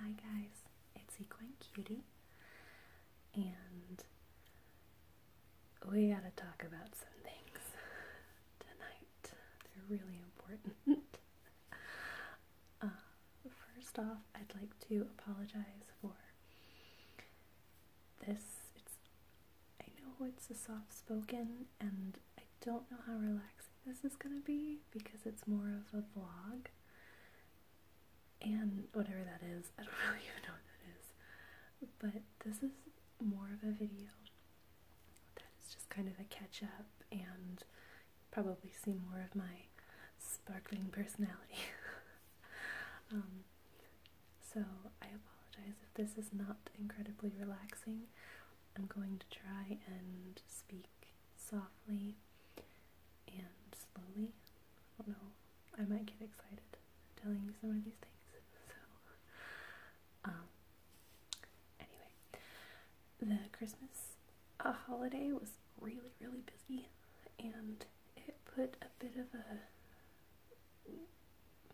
Hi guys, it's Equine Cutie, and we gotta talk about some things tonight. They're really important. Uh, first off, I'd like to apologize for this. It's I know it's a soft spoken, and I don't know how relaxed this is going to be because it's more of a vlog. And whatever that is, I don't really even know what that is. But this is more of a video that is just kind of a catch up and probably see more of my sparkling personality. Um, so I apologize if this is not incredibly relaxing. I'm going to try and speak softly and slowly. I don't know, I might get excited telling you some of these things. So, um, anyway, the Christmas uh, holiday was really, really busy and it put a bit of a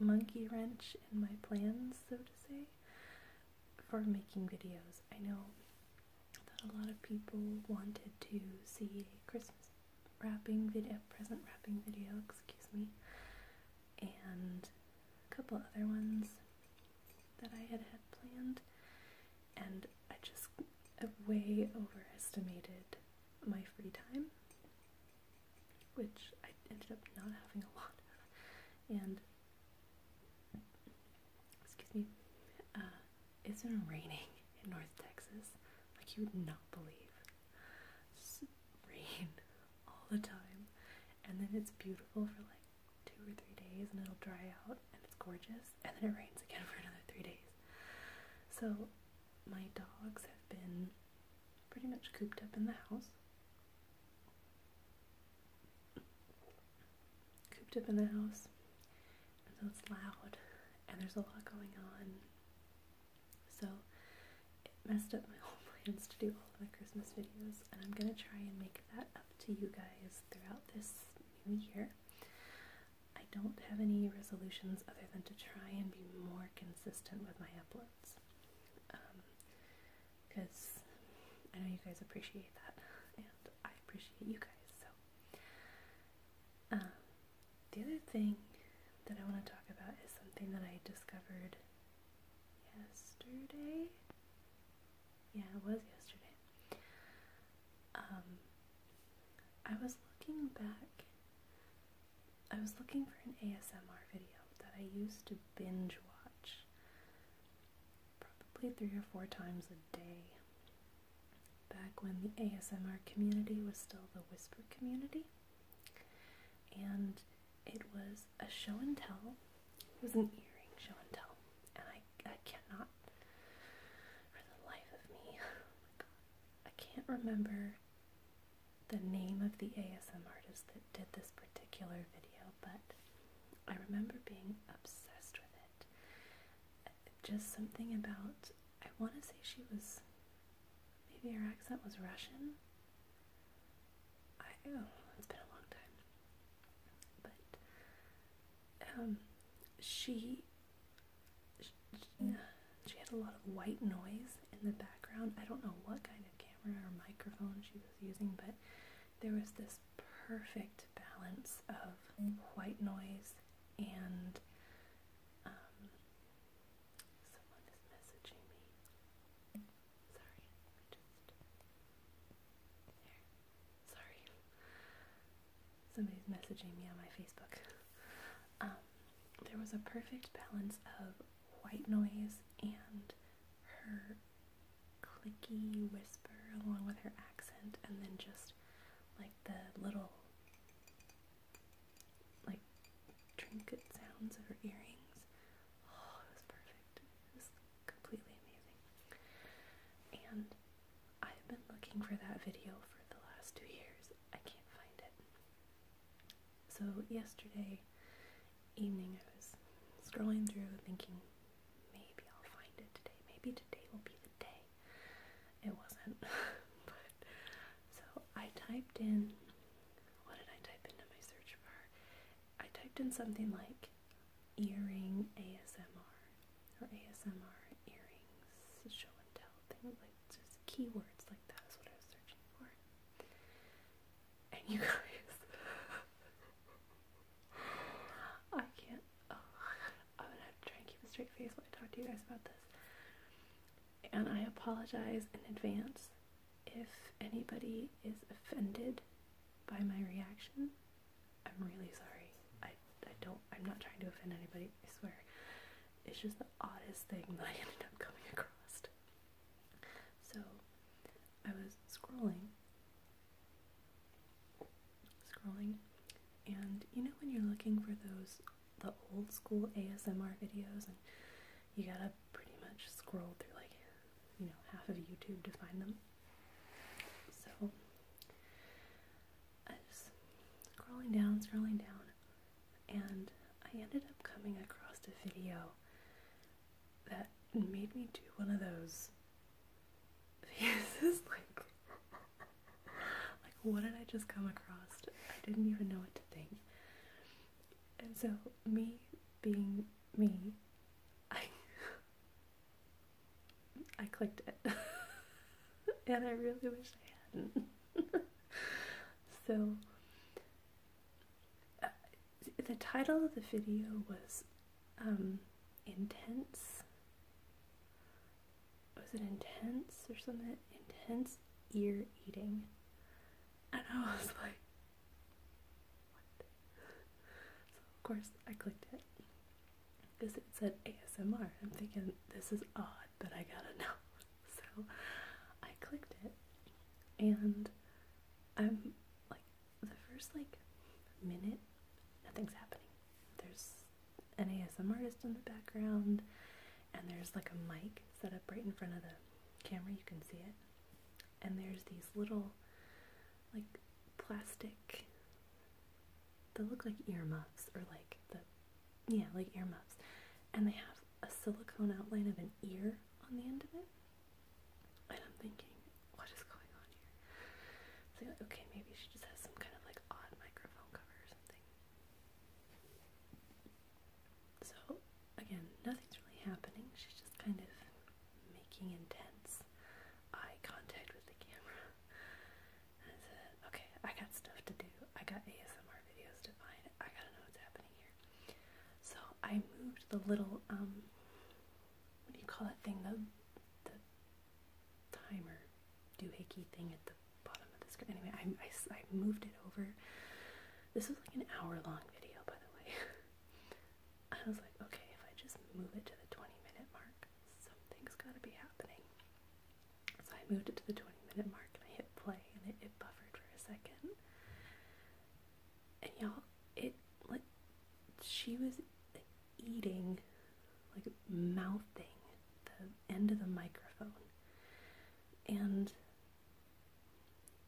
monkey wrench in my plans, so to say for making videos. I know that a lot of people wanted to see a Christmas wrapping video, present wrapping video, excuse me, and a couple other ones that I had had planned, and I just way overestimated my free time, which I ended up not having a lot and excuse me, uh, it's been raining in North Texas like you would not believe. It's rain all the time, and then it's beautiful for like two or three days, and it'll dry out, and it's gorgeous, and then it rains again for another three days. So my dogs have been pretty much cooped up in the house cooped up in the house. And so it's loud and there's a lot going on. So it messed up my whole plans to do all of my Christmas videos. And I'm going to try and make that up to you guys throughout this new year. I don't have any resolutions other than to try and be more consistent with my uploads. Um, because I know you guys appreciate that, and I appreciate you guys. So, um, the other thing that I want to talk about is something that I discovered yesterday. Yeah, it was yesterday. Um, I was looking back. I was looking for an ASMR video that I used to binge watch probably three or four times a day. Back when the ASMR community was still the whisper community, and it was a show and tell. It was an earring show and tell, and I I cannot for the life of me. Oh I can't remember the name of the ASMR artist that did this particular video, but I remember being obsessed with it. Just something about, I want to say she was, maybe her accent was Russian. I, oh, it's been a long time. But, um, she, she had a lot of white noise in the background. I don't know what kind of camera or microphone she was using, but there was this perfect balance of white noise and um, someone is messaging me. Sorry, just there. Sorry, somebody's messaging me on my Facebook. Um, there was a perfect balance of white noise and her clicky whisper along with her accent, and then just like the little like trinket sounds of her earrings. Oh, it was perfect. It was completely amazing. And I've been looking for that video for the last two years. I can't find it. So yesterday evening I was scrolling through thinking, Maybe I'll find it today. Maybe today will be the day. It wasn't. so I typed in what did I type into my search bar? I typed in something like earring ASMR or ASMR earrings show and tell things like just keywords like that is what I was searching for. And you guys I can't. I'm gonna have to try and keep a straight face when I talk to you guys about this. And I apologize in advance if anybody is offended by my reaction. I'm really sorry. I, I don't, I'm not trying to offend anybody, I swear. It's just the oddest thing that I ended up coming across. So, I was scrolling, scrolling, and you know when you're looking for those the old school ASMR videos, and you gotta pretty much scroll through like you know half of YouTube to find them. So I just scrolling down, scrolling down, and I ended up coming across a video that made me do one of those This is like, like what did I just come across? I didn't even know what to think. And so me being me, I I clicked it, and I really wish I hadn't. so. Uh, the title of the video was um, intense. Was it intense or something? Intense ear eating. And I was like, what? So, of course, I clicked it because it said ASMR. I'm thinking, this is odd, but I gotta know. So, I clicked it and I'm like the first like minute, nothing's happening. There's an ASM artist in the background, and there's like a mic set up right in front of the camera, you can see it. And there's these little, like, plastic, they look like earmuffs, or like the, yeah, like earmuffs. And they have a silicone outline of an ear on the end of it. And I'm thinking, what is going on here? So, like, okay, maybe she just has some kind of like odd microphone cover or something. So, again, nothing's really happening. She's just kind of making intense eye contact with the camera. And I said, okay, I got stuff to do. I got ASMR videos to find. I gotta know what's happening here. So I moved the little um what do you call that thing? The the timer doohickey thing at the bottom of the screen. Anyway, I, I, I moved it over. This was like an hour long video, by the way. I was like, okay, if I just move it to the 20 minute mark, something's gotta be happening. So I moved it to the 20 minute mark and I hit play and it, it buffered for a second. And y'all, it like she was eating like mouthing the end of the microphone and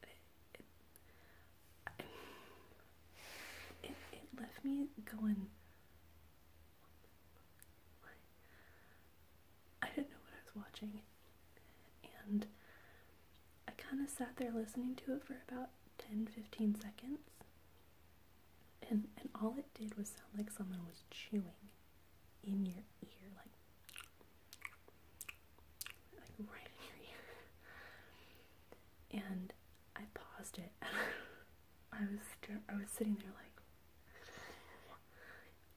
it, left me going I didn't know what I was watching and I kind of sat there listening to it for about 10 15 seconds. And, and all it did was sound like someone was chewing in your ear, like, like right in your ear. And I paused it, I was I was sitting there like,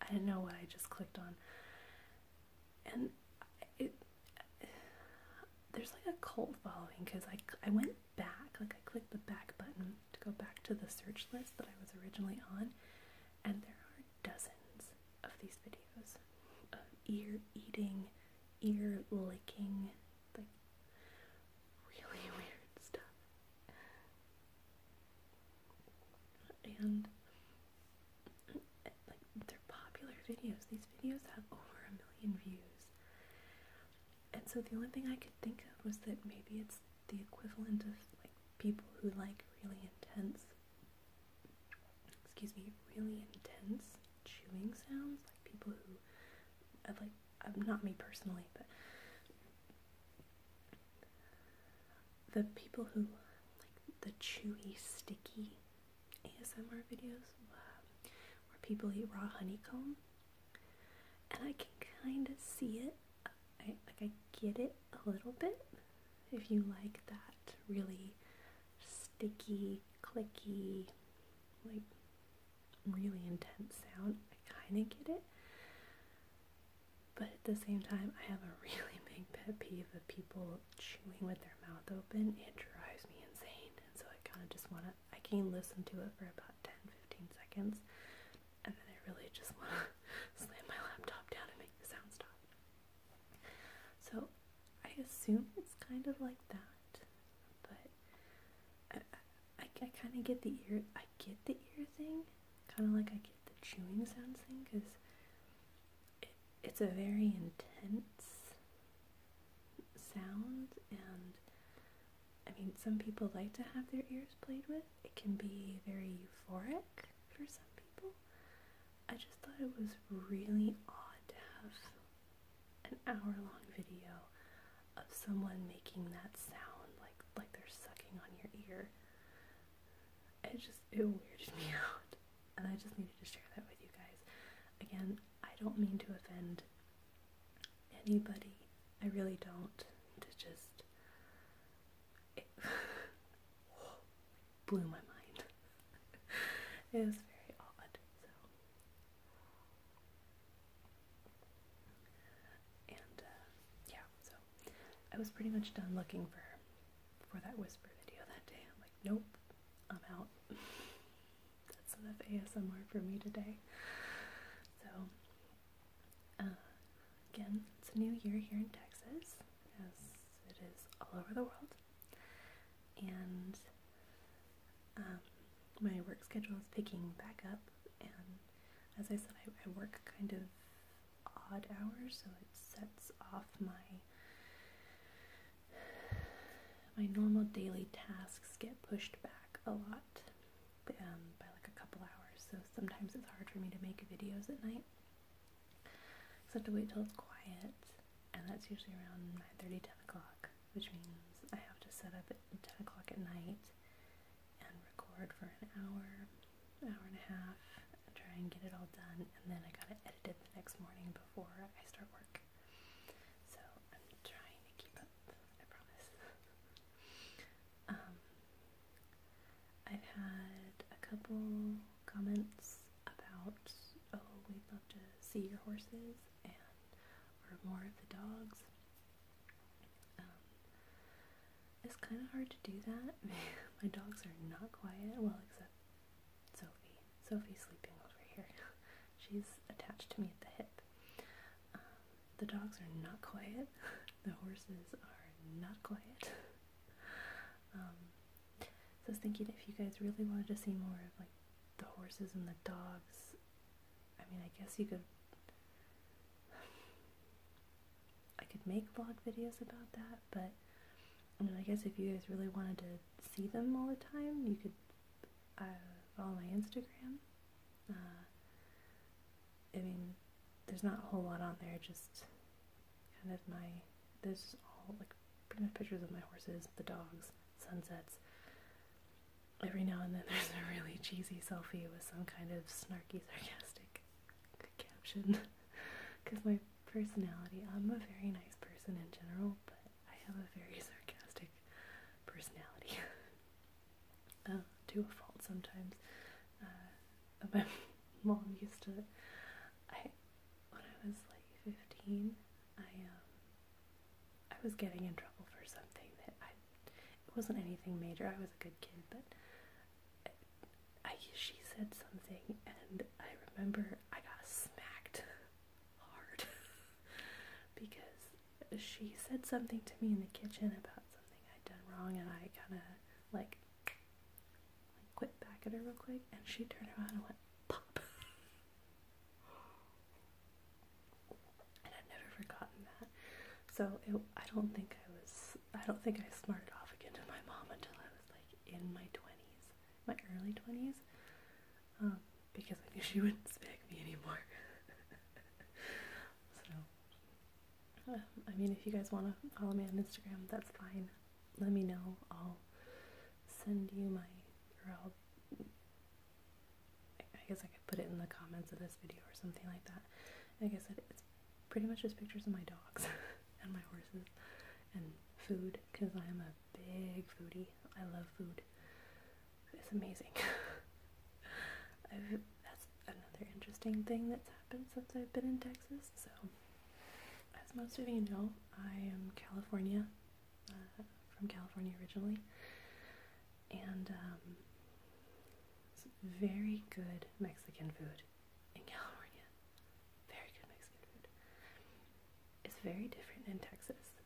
I didn't know what I just clicked on, and it there's like a cult following because I, I went back, like I clicked the back button to go back to the search list that I was originally on, and there are dozens of these videos of ear eating, ear licking, like really weird stuff. And like they're popular videos. These videos have over a million views. And so the only thing I could think of was that maybe it's the equivalent of like people who like really intense, excuse me, really intense chewing sounds, like people who, uh, like, uh, not me personally, but the people who like the chewy, sticky ASMR videos uh, where people eat raw honeycomb, and I can kind of see it. I like I get it a little bit. If you like that really sticky, clicky, like really intense sound, I kind of get it. But at the same time, I have a really big pet peeve of people chewing with their mouth open. It drives me insane. And so I kind of just want to I can listen to it for about 10-15 seconds and then I really just want to slam my laptop down and make the sound stop. So I assume it's kind of like that, but I, I, kind of get the ear, I get the ear thing, kind of like I get the chewing sounds thing because it's a very intense sound and I mean some people like to have their ears played with. It can be very euphoric for some people. I just thought it was really odd to have an hour long video of someone making that sound like like they're sucking on your ear. It just it weirded me out. And I just needed to share that with you guys. Again, I don't mean to offend anybody. I really don't. To just. It blew my mind. it was very odd. And uh, yeah, so I was pretty much done looking for for that whisper video that day. I'm like, nope, I'm out. that's enough ASMR for me today. So, uh, again, it's a new year here in Texas, as it is all over the world. And um, my work schedule is picking back up. And as I said, I work kind of odd hours, so it sets off my my normal daily tasks get pushed back a lot um, by like a couple hours, so sometimes it's hard for me to make videos at night. I have to wait till it's quiet, and that's usually around 9 30, 10 o'clock, which means I have to set up at 10 o'clock at night and record for an hour, hour and a half, and try and get it all done, and then I gotta edit it the next morning before I start work. So I'm trying to keep up, I promise. Um, I've had a couple comments about, oh, we'd love to see your horses and or more of the dogs. Um, it's kind of hard to do that. My dogs are not quiet. Well, except Sophie. Sophie's sleeping over here. She's attached to me at the hip. Um, the dogs are not quiet. the horses are not quiet. Um, so I was thinking if you guys really wanted to see more of like the horses and the dogs, I mean, I guess you could. I could make vlog videos about that, but I, mean, I guess if you guys really wanted to see them all the time, you could uh, follow my Instagram. Uh, I mean, there's not a whole lot on there, just kind of my, this all like pretty much pictures of my horses, the dogs, sunsets. Every now and then there's a really cheesy selfie with some kind of snarky, sarcastic caption. Because my personality, I'm a very nice person in general, but I have a very sarcastic personality. uh, to a fault sometimes. Uh, my mom used to. I when I was like fifteen, I um, I was getting in trouble for something that I it wasn't anything major. I was a good kid, but I she said something, and I remember I got smacked hard because she said something to me in the kitchen about something I'd done wrong, and I kind of like, like quit back at her real quick, and she turned around and went pop. and I've never forgotten that. So I don't think I was, I don't think I smarted off again to my mom until I was like in my twenties, my early twenties um, because I knew she wouldn't smack me anymore. so, um, I mean, if you guys want to follow me on Instagram, that's fine. Let me know. I'll send you my, or I'll, I guess I could put it in the comments of this video or something like that. Like I said, it's pretty much just pictures of my dogs and my horses and food because I am a big foodie. I love food. It's amazing. that's another interesting thing that's happened since I've been in Texas. So, as most of you know, I am California, uh, from California originally, and um, very good Mexican food in California. Very good Mexican food. It's very different in Texas.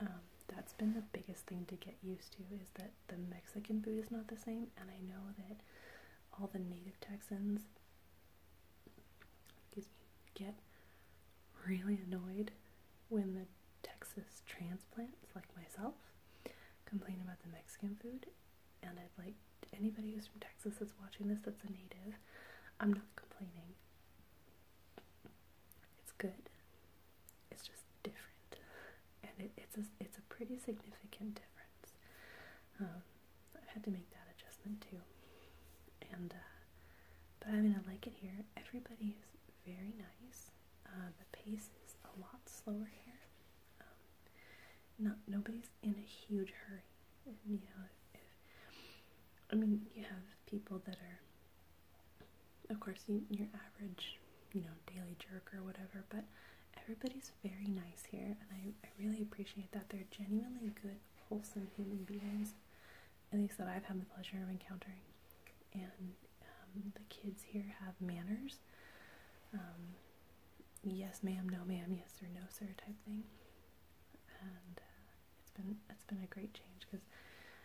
Um, that's been the biggest thing to get used to is that the Mexican food is not the same, and I know that all the native Texans, excuse me, get really annoyed when the Texas transplants, like myself, complain about the Mexican food. And I'd like anybody who's from Texas that's watching this that's a native, I'm not complaining. It's good. It's just different, and it's a it's a pretty significant difference. Um, I had to make that adjustment too, and uh, but I mean I like it here. Everybody is very nice. Uh, the pace is a lot slower here. Um, not nobody's in a huge hurry. you know, if, I mean you have people that are of course, your average, you know, daily jerk or whatever, but everybody's very nice here, and I, I really appreciate that. They're genuinely good, wholesome human beings, at least that I've had the pleasure of encountering. And um, the kids here have manners. Um, yes, ma'am, no, ma'am, yes, or no, sir, type thing. Uh, it's been it's been a great change because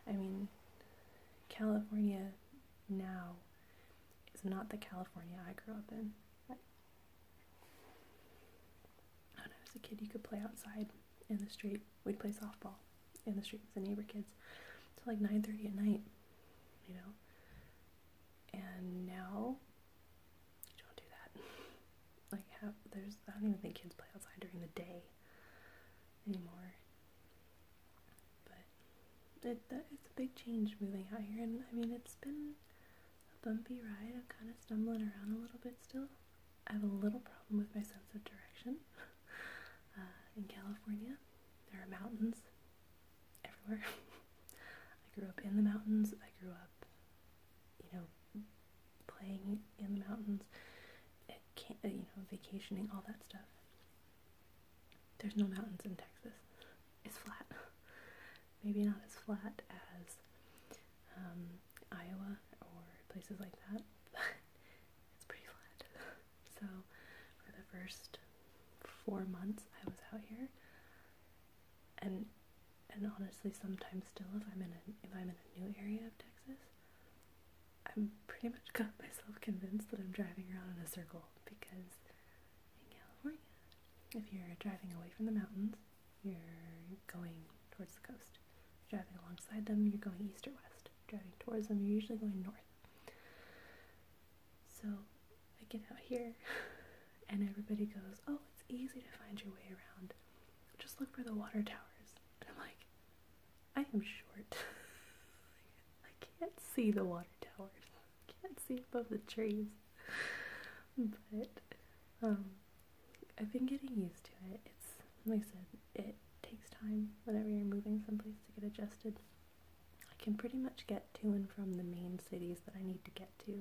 I mean California now is not the California I grew up in. Like, when I was a kid, you could play outside in the street. We'd play softball in the street with the neighbor kids till like 9:30 at night, you know. And now don't do that. like have there's I don't even think kids play outside during the day anymore. But it it's a big change moving out here, and I mean it's been a bumpy ride. I'm kind of stumbling around a little bit still. I have a little problem with my sense of direction. Uh, in California, there are mountains everywhere. I grew up in the mountains. I grew up, you know, playing in the mountains, uh, uh, you know, vacationing, all that stuff. There's no mountains in Texas. It's flat. Maybe not as flat as um, Iowa or places like that, it's pretty flat. So for the first four months I was out here, and and honestly, sometimes still, if I'm in if I'm in a new area of Texas, I'm pretty much got myself convinced that I'm driving around in a circle because in California, if you're driving away from the mountains, you're going towards the coast. driving alongside them, you're going east or west. driving towards them, you're usually going north. So I get out here and everybody goes, Oh, it's easy to find your way around. Just look for the water towers. And I'm like, I am short. I can't see the water towers. I can't see above the trees. But um, I've been getting used to it. It's like I said, it takes time whenever you're moving someplace to get adjusted. I can pretty much get to and from the main cities that I need to get to.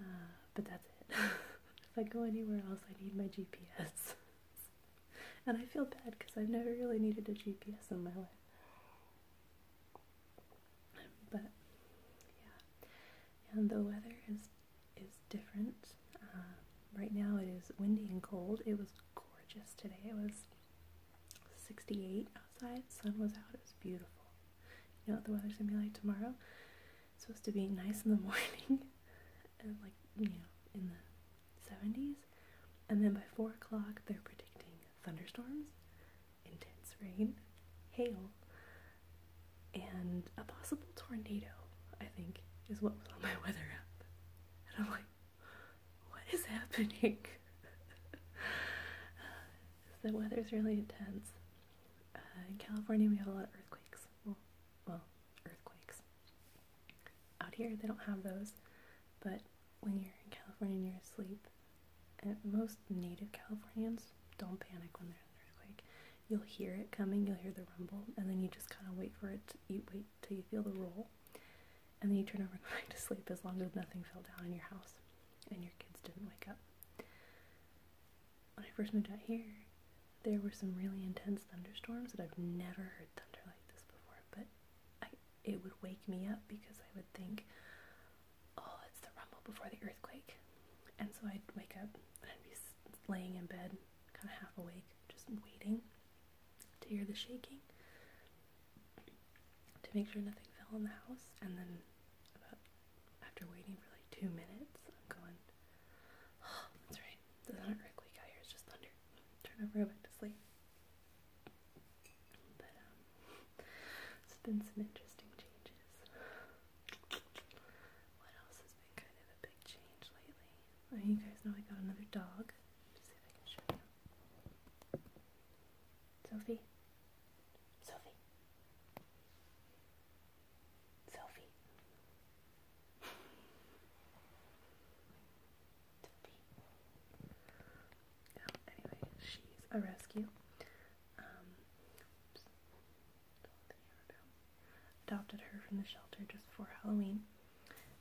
Uh, but that's it. if I go anywhere else I need my GPS. And I feel bad because I've never really needed a GPS in my life. But yeah, and the weather is is different. Uh, right now it is windy and cold. It was gorgeous today. It was 68 outside. Sun was out. It was beautiful. You know what the weather's gonna be like tomorrow? supposed to be nice in the morning, and like you know, in the 70s, and then by four o'clock they're predicting thunderstorms, intense rain, hail, and a possible tornado. I think is what was on my weather app, and I'm like, what is happening? the weather's really intense. Uh, in California, we have a lot of earthquakes. Well, well, earthquakes. Out here, they don't have those, but when you're in California and you're asleep, and most native Californians don't panic when there's an earthquake. You'll hear it coming, you'll hear the rumble, and then you just kind of wait for it. To, you wait till you feel the roll, and then you turn over going to sleep as long as nothing fell down in your house and your kids didn't wake up when I first moved out here, there were some really intense thunderstorms that I've never heard thunder like this before, but I, it would wake me up because I would think, oh, it's the rumble before the earthquake. And so I'd wake up and I'd be laying in bed, kind of half awake, just waiting to hear the shaking to make sure nothing fell in the house. And then, after waiting for like two minutes, I'm going, That's right. It's not earthquake out here, it's just thunder. Turn over went to sleep. But um it's been some interesting changes. What else has been kind of a big change lately? Oh, you guys know I got another dog. see if I can show you. Sophie. Sophie. Sophie. Sophie. anyway, she's a rescue. Um, adopted her from the shelter just for Halloween,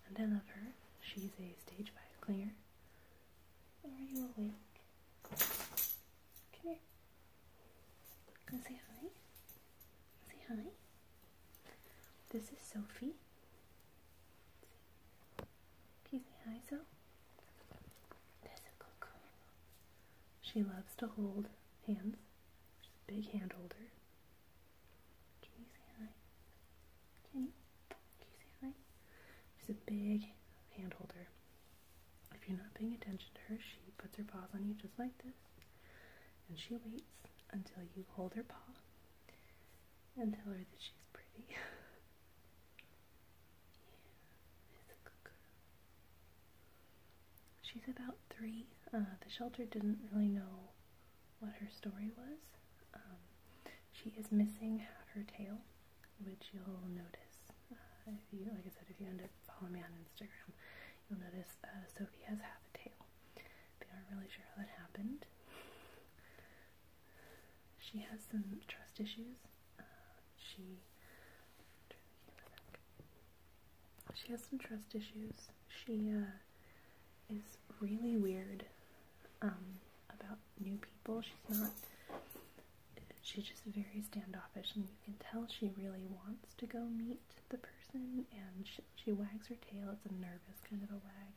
and I love her. She's a stage five clinger. Are you awake? Come here. Can say hi? Say hi. This is Sophie. Excuse me, hi, So. She loves to hold hands. She's big hand holder. Can you hi? Jenny, can hi? She's a big hand holder. If you're not paying attention to her, she puts her paws on you just like this. And she waits until you hold her paw and tell her that she's pretty. She's about three. Uh, the shelter didn't really know what her story was. Um, she is missing half her tail, which you'll notice uh, if you, like I said, if you end up following me on Instagram, you'll notice uh, Sophie has half a tail. They aren't really sure how that happened. She has some trust issues. Uh, she she has some trust issues. She uh, is really weird um, about new people. She's not. She's just very standoffish, and you can tell she really wants to go meet the person, and sh she, wags her tail. It's a nervous kind of a wag.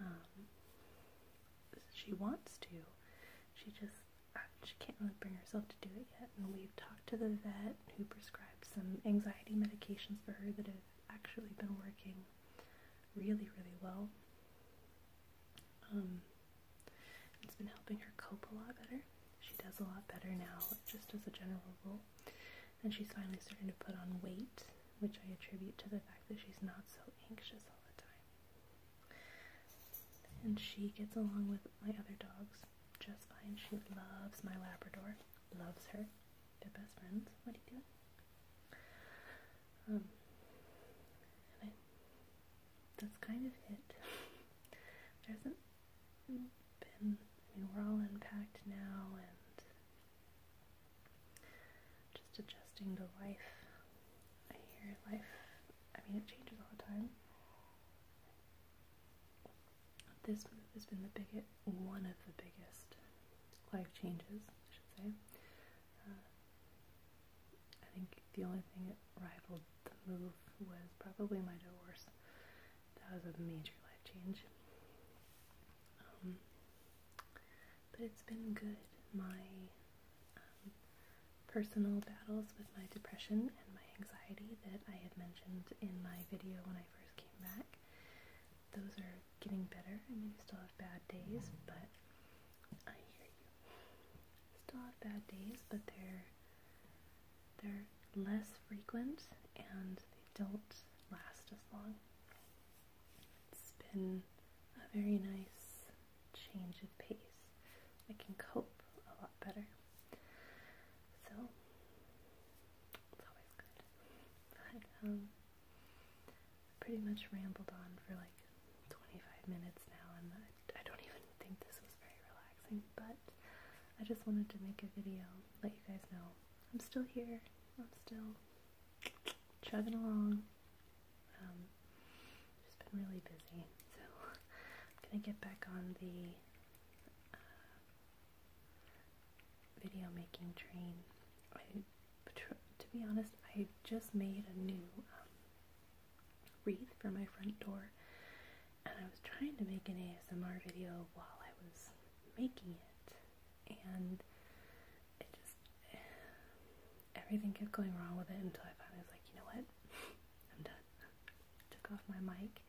Um, she wants to. She just uh, she can't really bring herself to do it yet. And we've talked to the vet who prescribed some anxiety medications for her that have actually been working really, really well. Um, it's been helping her cope a lot better. She does a lot better now, just as a general rule. And she's finally starting to put on weight, which I attribute to the fact that she's not so anxious all the time. And she gets along with my other dogs just fine. She loves my Labrador, loves her. They're best friends. What are you doing? Um, that's kind of it. There isn't been, I mean, we're all unpacked now and just adjusting to life. I hear life, I mean, it changes all the time. This move has been the biggest, one of the biggest life changes, I should say. Uh, I think the only thing that rivaled the move was probably my divorce that was a major life change. Um, but it's been good. My um, personal battles with my depression and my anxiety that I had mentioned in my video when I first came back, those are getting better. I mean, still have bad days, but I hear you. Still have bad days, but they're they're less frequent and they don't last as long. It's been a very nice change of pace. I can cope a lot better. So, it's always good. But, um, pretty much rambled on for like 25 minutes now, and I, I don't even think this was very relaxing, but I just wanted to make a video let you guys know I'm still here. I'm still chugging along. Um, just been really busy, so I'm gonna get back on the uh, video making train. I, to be honest, I just made a new um, wreath for my front door, and I was trying to make an ASMR video while I was making it, and it just everything kept going wrong with it until I finally was like, you know what, I'm done. Took off my mic,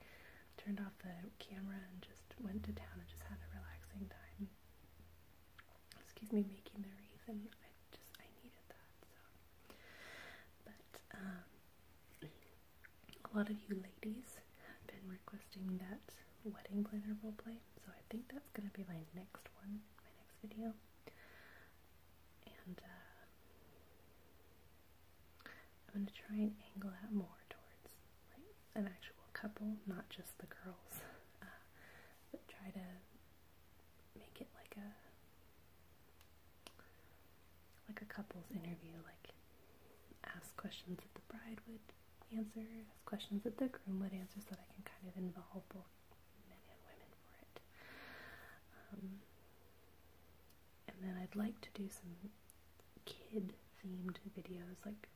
turned off the camera, and just went to town and just had a relaxing time. Excuse me, making the wreath, and I just I needed that. So, but um, a lot of you ladies have been requesting that wedding planner role play, so I think that's going to be my next one, my next video. And uh, I'm going to try and angle that more towards like an actual couple, not just the girls, uh, but try to make it like a like a couple's interview, like ask questions that the bride would answer, ask questions that the groom would answer, so that I can kind of involve both men and women for it. Um, and then I'd like to do some kid themed videos, like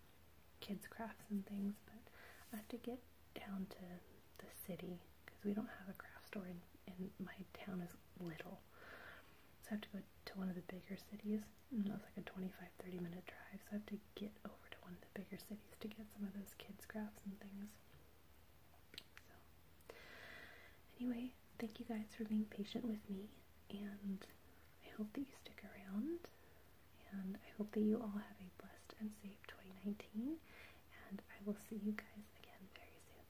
kids' crafts and things, but I have to get down to the city because we don't have a craft store, and, and my town is little. So I have to go to one of the bigger cities. Mm-hmm. And was like a 25 30 minute drive. So I have to get over to one of the bigger cities to get some of those kids' crafts and things. So, anyway, thank you guys for being patient with me. And I hope that you stick around. And I hope that you all have a blessed and safe 2019. And I will see you guys again very soon.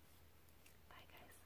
Bye, guys.